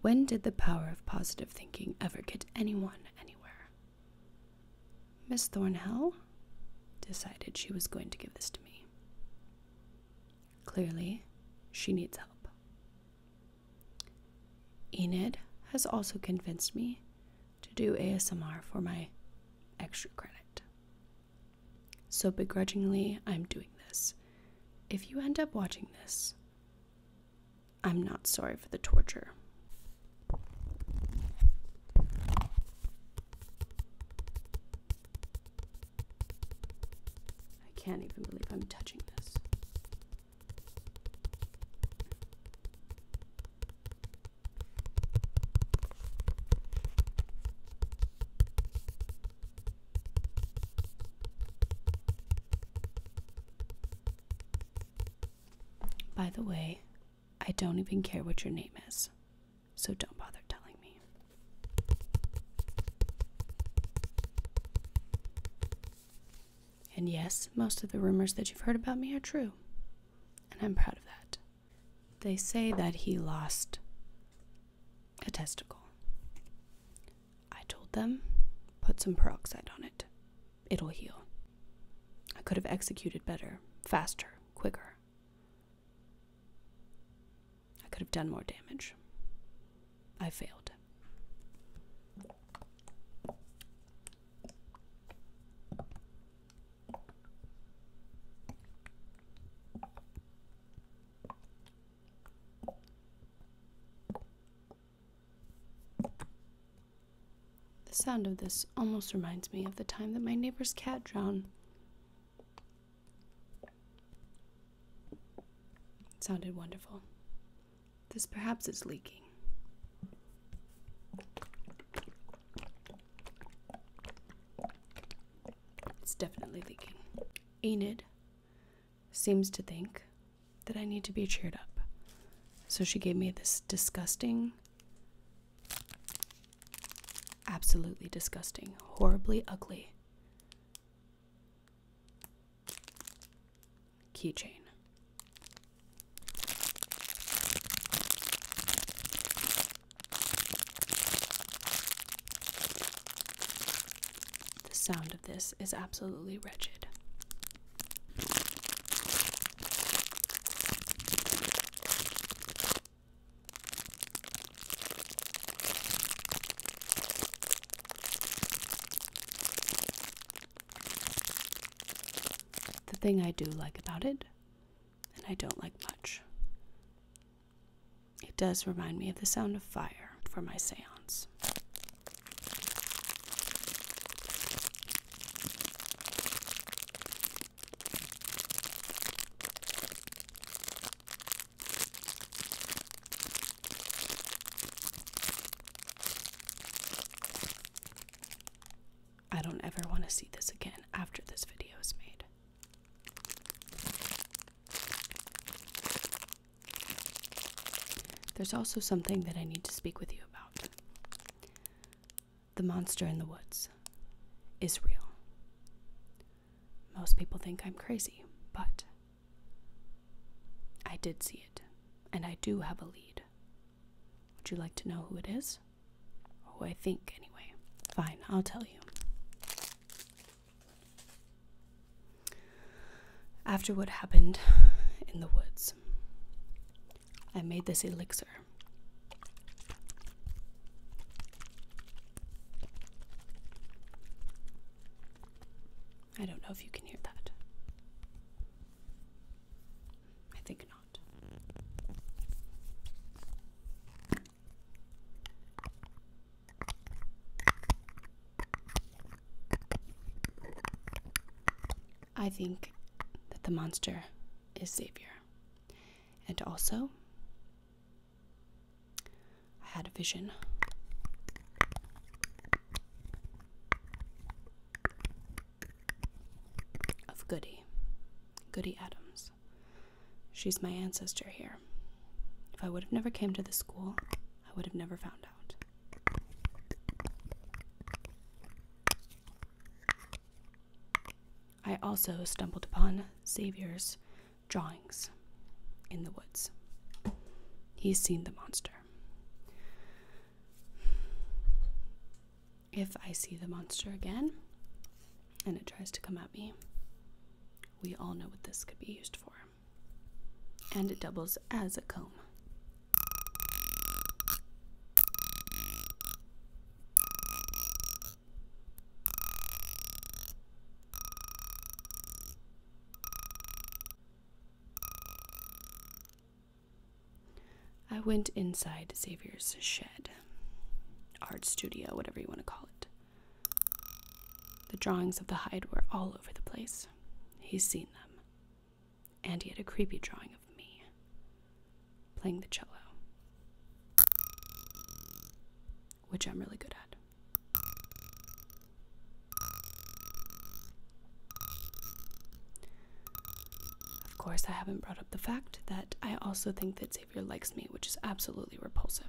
When did the power of positive thinking ever get anyone anywhere? Miss Thornhill decided she was going to give this to me. Clearly, she needs help. Enid has also convinced me to do ASMR for my extra credit. So begrudgingly, I'm doing this. If you end up watching this, I'm not sorry for the torture. I can't even believe I'm touching this. By the way, I don't even care what your name is, so don't bother telling me. And yes, most of the rumors that you've heard about me are true, and I'm proud of that. They say that he lost a testicle. I told them, put some peroxide on it. It'll heal. I could have executed better, faster, quicker. I could have done more damage. I failed. The sound of this almost reminds me of the time that my neighbor's cat drowned. It sounded wonderful. This perhaps is leaking. It's definitely leaking. Enid seems to think that I need to be cheered up. So she gave me this disgusting, absolutely disgusting, horribly ugly keychain. The sound of this is absolutely wretched. The thing I do like about it, and I don't like much, it does remind me of the sound of fire for my seance. I don't ever want to see this again after this video is made. There's also something that I need to speak with you about. The monster in the woods is real. Most people think I'm crazy, but I did see it, and I do have a lead. Would you like to know who it is? Oh, I think, anyway. Fine, I'll tell you. After what happened in the woods, I made this elixir. I don't know if you can hear that. I think not. I think that the monster is Xavier. And also, I had a vision. Of Goody, Goody Adams. She's my ancestor here. If I would have never came to the school, I would have never found out. I also stumbled upon Xavier's drawings in the woods. He's seen the monster. If I see the monster again and it tries to come at me, we all know what this could be used for and it doubles as a comb. I went inside Xavier's shed, art studio, whatever you want to call it. The drawings of the hide were all over the place. He's seen them. And he had a creepy drawing of me playing the cello, which I'm really good at. Of course, I haven't brought up the fact that I also think that Xavier likes me, which is absolutely repulsive.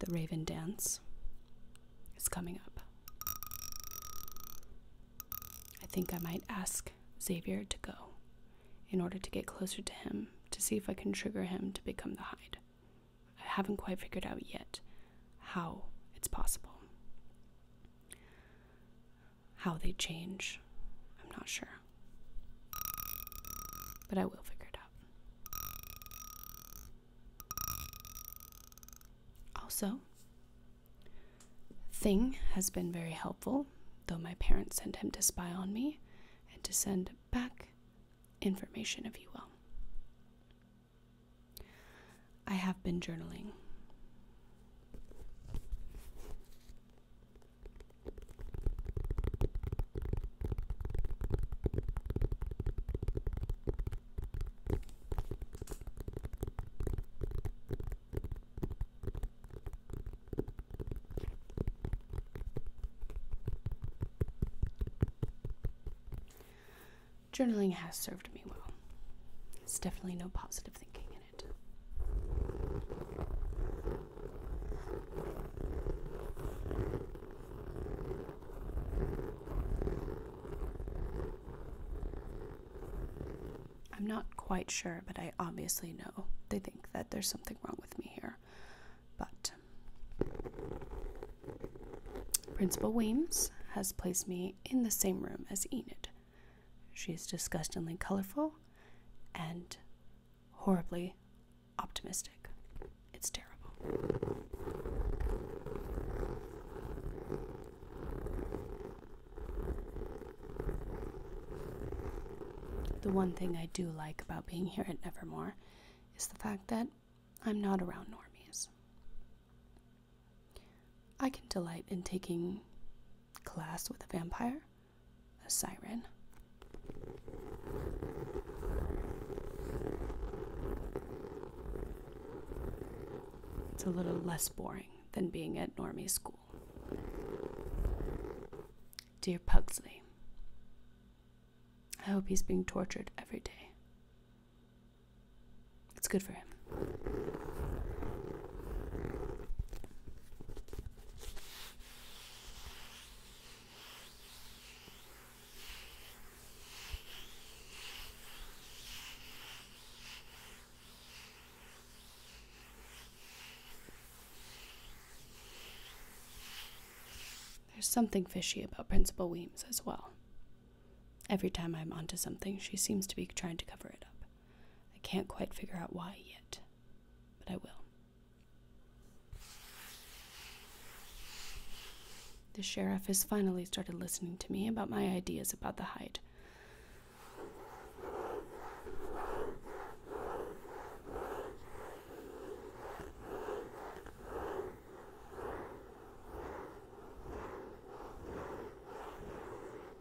The Raven Dance is coming up. I think I might ask Xavier to go in order to get closer to him to see if I can trigger him to become the Hyde. I haven't quite figured out yet how it's possible how they change. I'm not sure. But I will figure it out. Also, Thing has been very helpful, though my parents sent him to spy on me and to send back information, if you will. I have been journaling. Journaling has served me well. It's definitely no positive thinking. I'm not quite sure, but I obviously know they think that there's something wrong with me here. But Principal Weems has placed me in the same room as Enid, She's disgustingly colorful and horribly optimistic. It's terrible. The one thing I do like about being here at Nevermore is the fact that I'm not around normies. I can delight in taking class with a vampire, a siren. It's a little less boring than being at normie school. Dear Pugsley, I hope he's being tortured every day. It's good for him. There's something fishy about Principal Weems as well. Every time I'm onto something, she seems to be trying to cover it up. I can't quite figure out why yet, but I will. The sheriff has finally started listening to me about my ideas about the hide.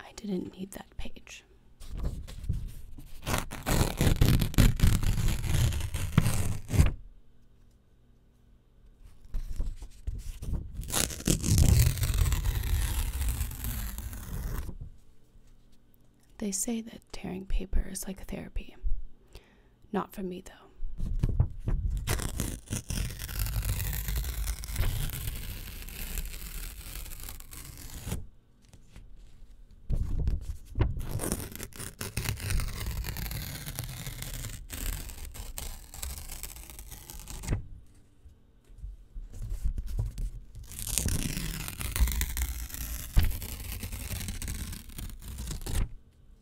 I didn't need that page. They say that tearing paper is like therapy. Not for me, though.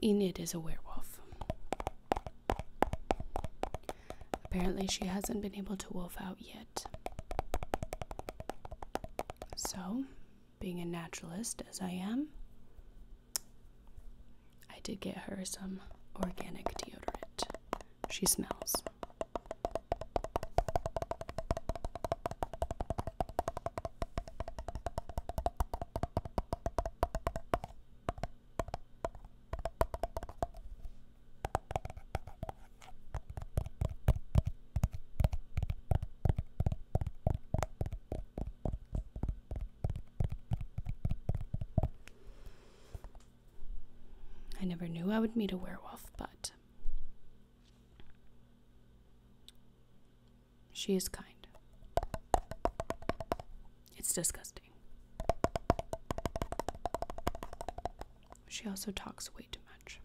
Enid is a werewolf. Apparently, she hasn't been able to wolf out yet. So, being a naturalist as I am, I did get her some organic deodorant. She smells. I never knew I would meet a werewolf, but she is kind. It's disgusting. She also talks way too much.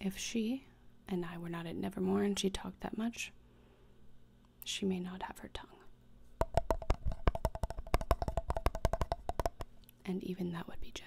If she and I were not at Nevermore and she talked that much, she may not have her tongue. And even that would be generous.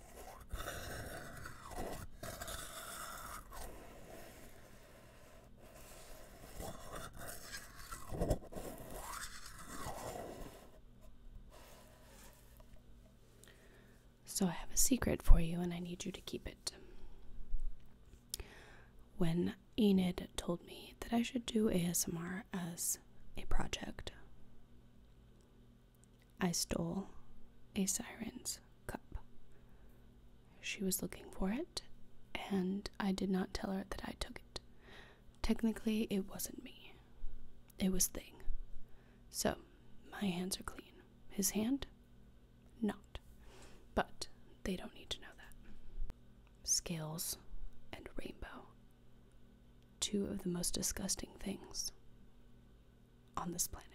So, I have a secret for you, and I need you to keep it. When Enid told me that I should do ASMR as a project, I stole a siren's cup. She was looking for it, and I did not tell her that I took it. Technically, it wasn't me, it was Thing. So, my hands are clean. His hand? Not. But they don't need to know that. Scales and rainbow. Two of the most disgusting things on this planet.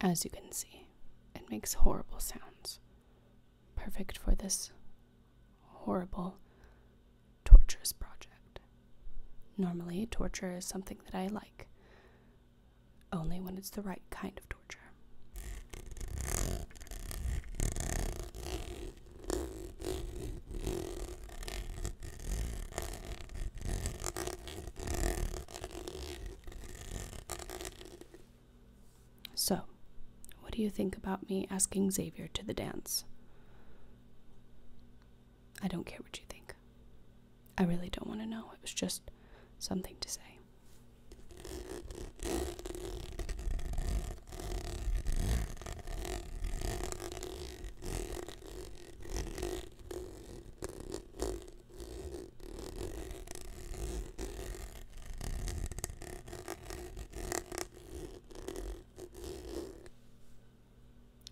As you can see, it makes horrible sounds, perfect for this horrible, torturous project. Normally, torture is something that I like, only when it's the right kind of torture. So, what do you think about me asking Xavier to the dance? I don't care what you think. I really don't want to know. It was just something to say.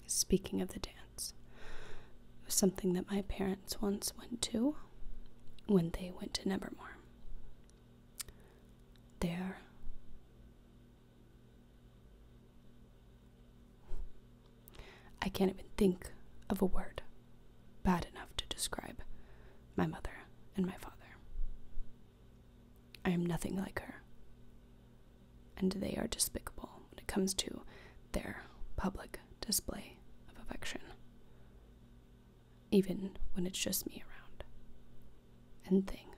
Speaking of the dance, something that my parents once went to when they went to Nevermore there. I can't even think of a word bad enough to describe my mother and my father. I am nothing like her, and they are despicable when it comes to their public display of affection even when it's just me around. And Thing.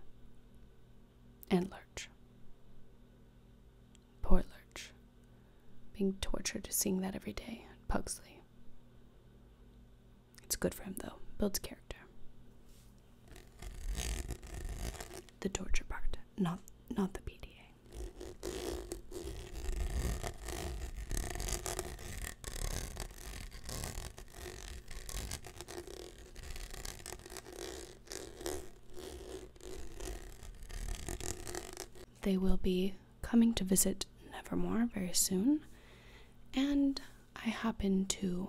And Lurch. Poor Lurch. Being tortured seeing that every day Pugsley. It's good for him, though. Builds character. The torture part, not, not the PDA. They will be coming to visit Nevermore very soon, and I happen to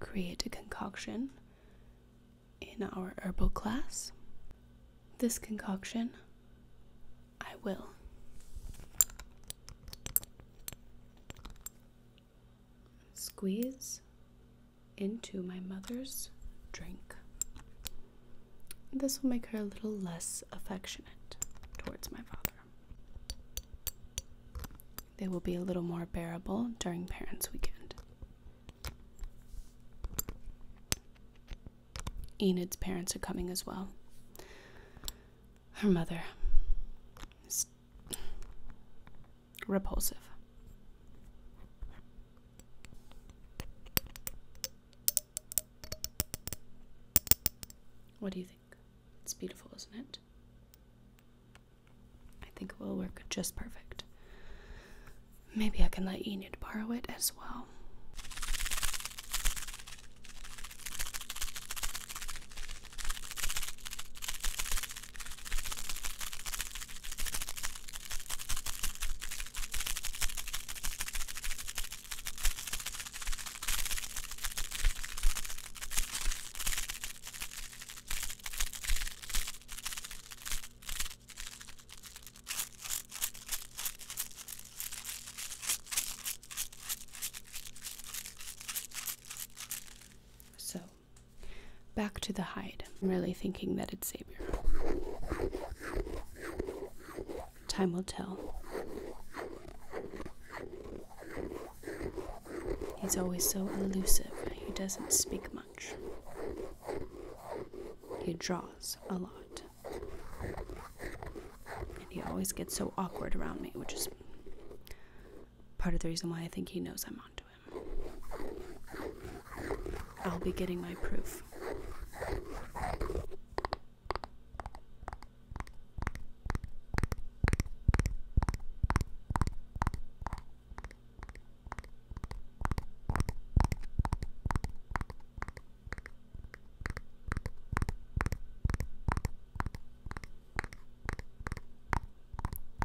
create a concoction in our herbal class. This concoction I will. Squeeze into my mother's drink. This will make her a little less affectionate towards my father. They will be a little more bearable during Parents' Weekend. Enid's parents are coming as well. Her mother is repulsive. What do you think? It's beautiful, isn't it? I think it will work just perfect. Maybe I can let Enid borrow it as as well. So, back to the hide. I'm really thinking that it it's Xavier. Time will tell. He's always so elusive, he doesn't speak much. He draws a lot. And he always gets so awkward around me, which is part of the reason why I think he knows I'm onto him. I'll be getting my proof.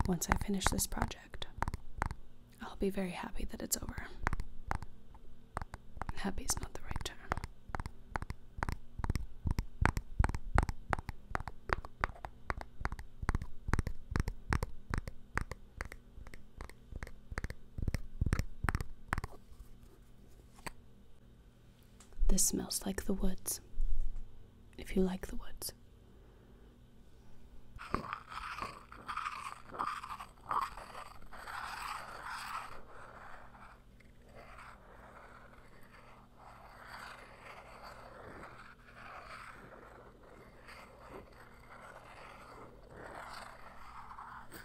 Once I finish this project, I'll be very happy that it's over. Happy is not the right term. This smells like the woods. If you like the woods.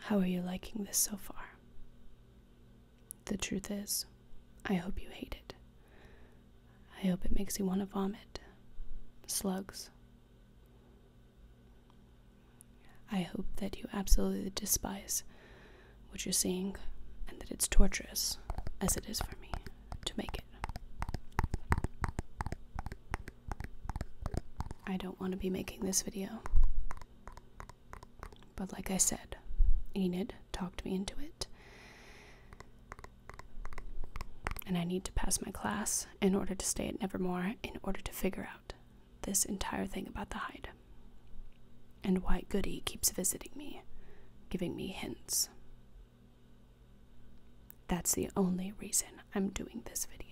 How are you liking this so far? The truth is, I hope you hate it. I hope it makes you want to vomit. Slugs. I hope that you absolutely despise what you're seeing and that it's torturous, as it is for me, to make it. I don't want to be making this video. But like I said, Enid talked me into it. And I need to pass my class in order to stay at Nevermore, in order to figure out this entire thing about the hide. And why Goody keeps visiting me, giving me hints. That's the only reason I'm doing this video.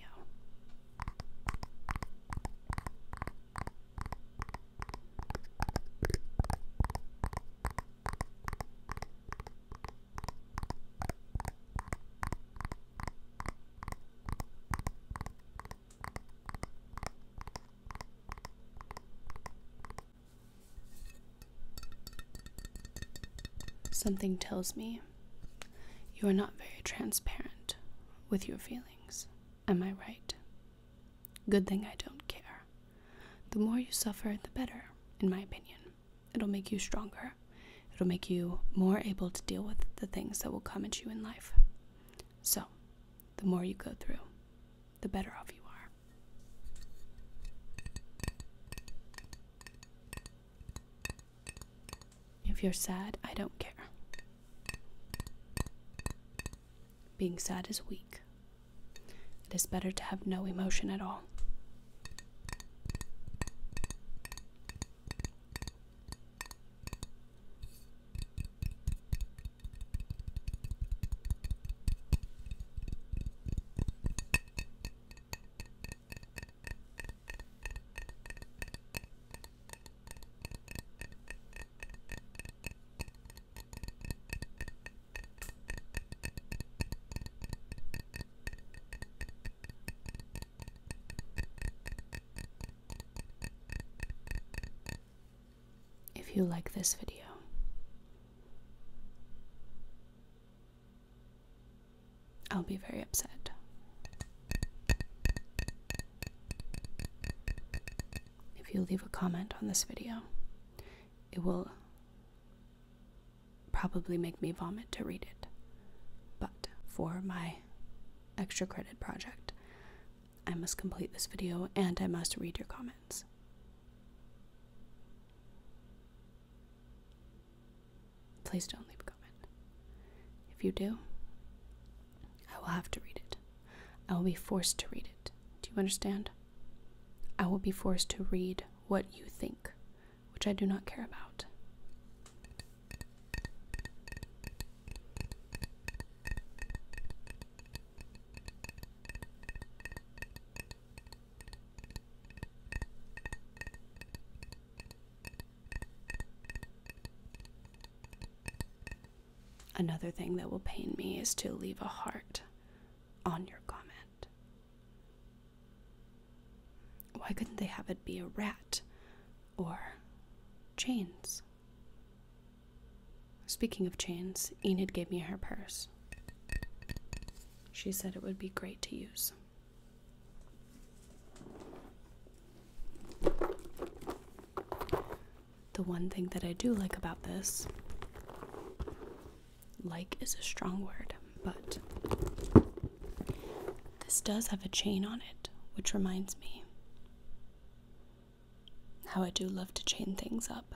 Something tells me you are not very transparent with your feelings. Am I right? Good thing I don't care. The more you suffer, the better, in my opinion. It'll make you stronger. It'll make you more able to deal with the things that will come at you in life. So, the more you go through, the better off you are. If you're sad, I don't care. Being sad is weak. It is better to have no emotion at all. If you like this video, I'll be very upset. If you leave a comment on this video, it will probably make me vomit to read it. But for my extra credit project, I must complete this video and I must read your comments. Please don't leave a comment. If you do, I will have to read it. I will be forced to read it. Do you understand? I will be forced to read what you think, which I do not care about. Another thing that will pain me is to leave a heart on your comment. Why couldn't they have it be a rat or chains? Speaking of chains, Enid gave me her purse. She said it would be great to use. The one thing that I do like about this, like is a strong word, but this does have a chain on it, which reminds me how I do love to chain things up.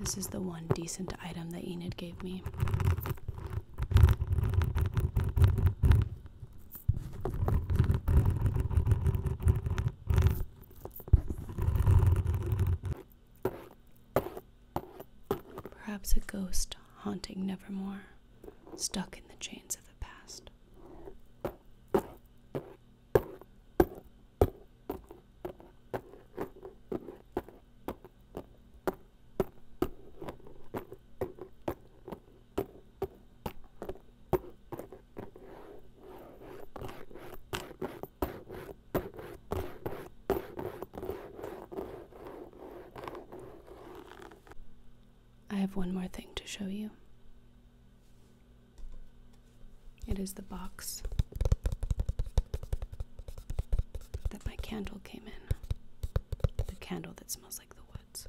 This is the one decent item that Enid gave me. Perhaps a ghost haunting Nevermore, stuck in the chains of the past. I have one more thing to show you. It is the box that my candle came in. The candle that smells like the woods.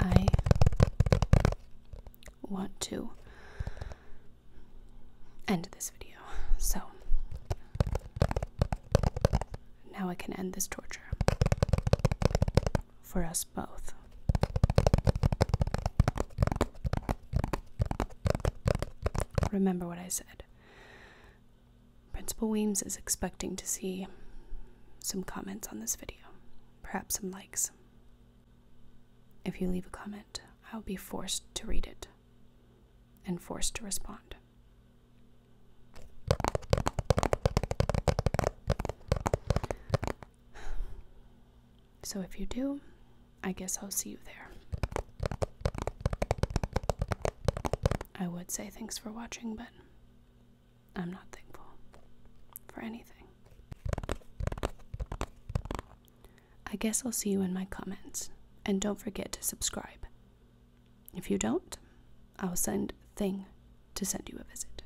I want to end this video. So now I can end this torture for us both. Remember what I said. Principal Weems is expecting to see some comments on this video, perhaps some likes. If you leave a comment, I'll be forced to read it and forced to respond. So if you do, I guess I'll see you there. I would say thanks for watching, but I'm not thankful for anything. I guess I'll see you in my comments, and don't forget to subscribe. If you don't, I'll send Thing to send you a visit.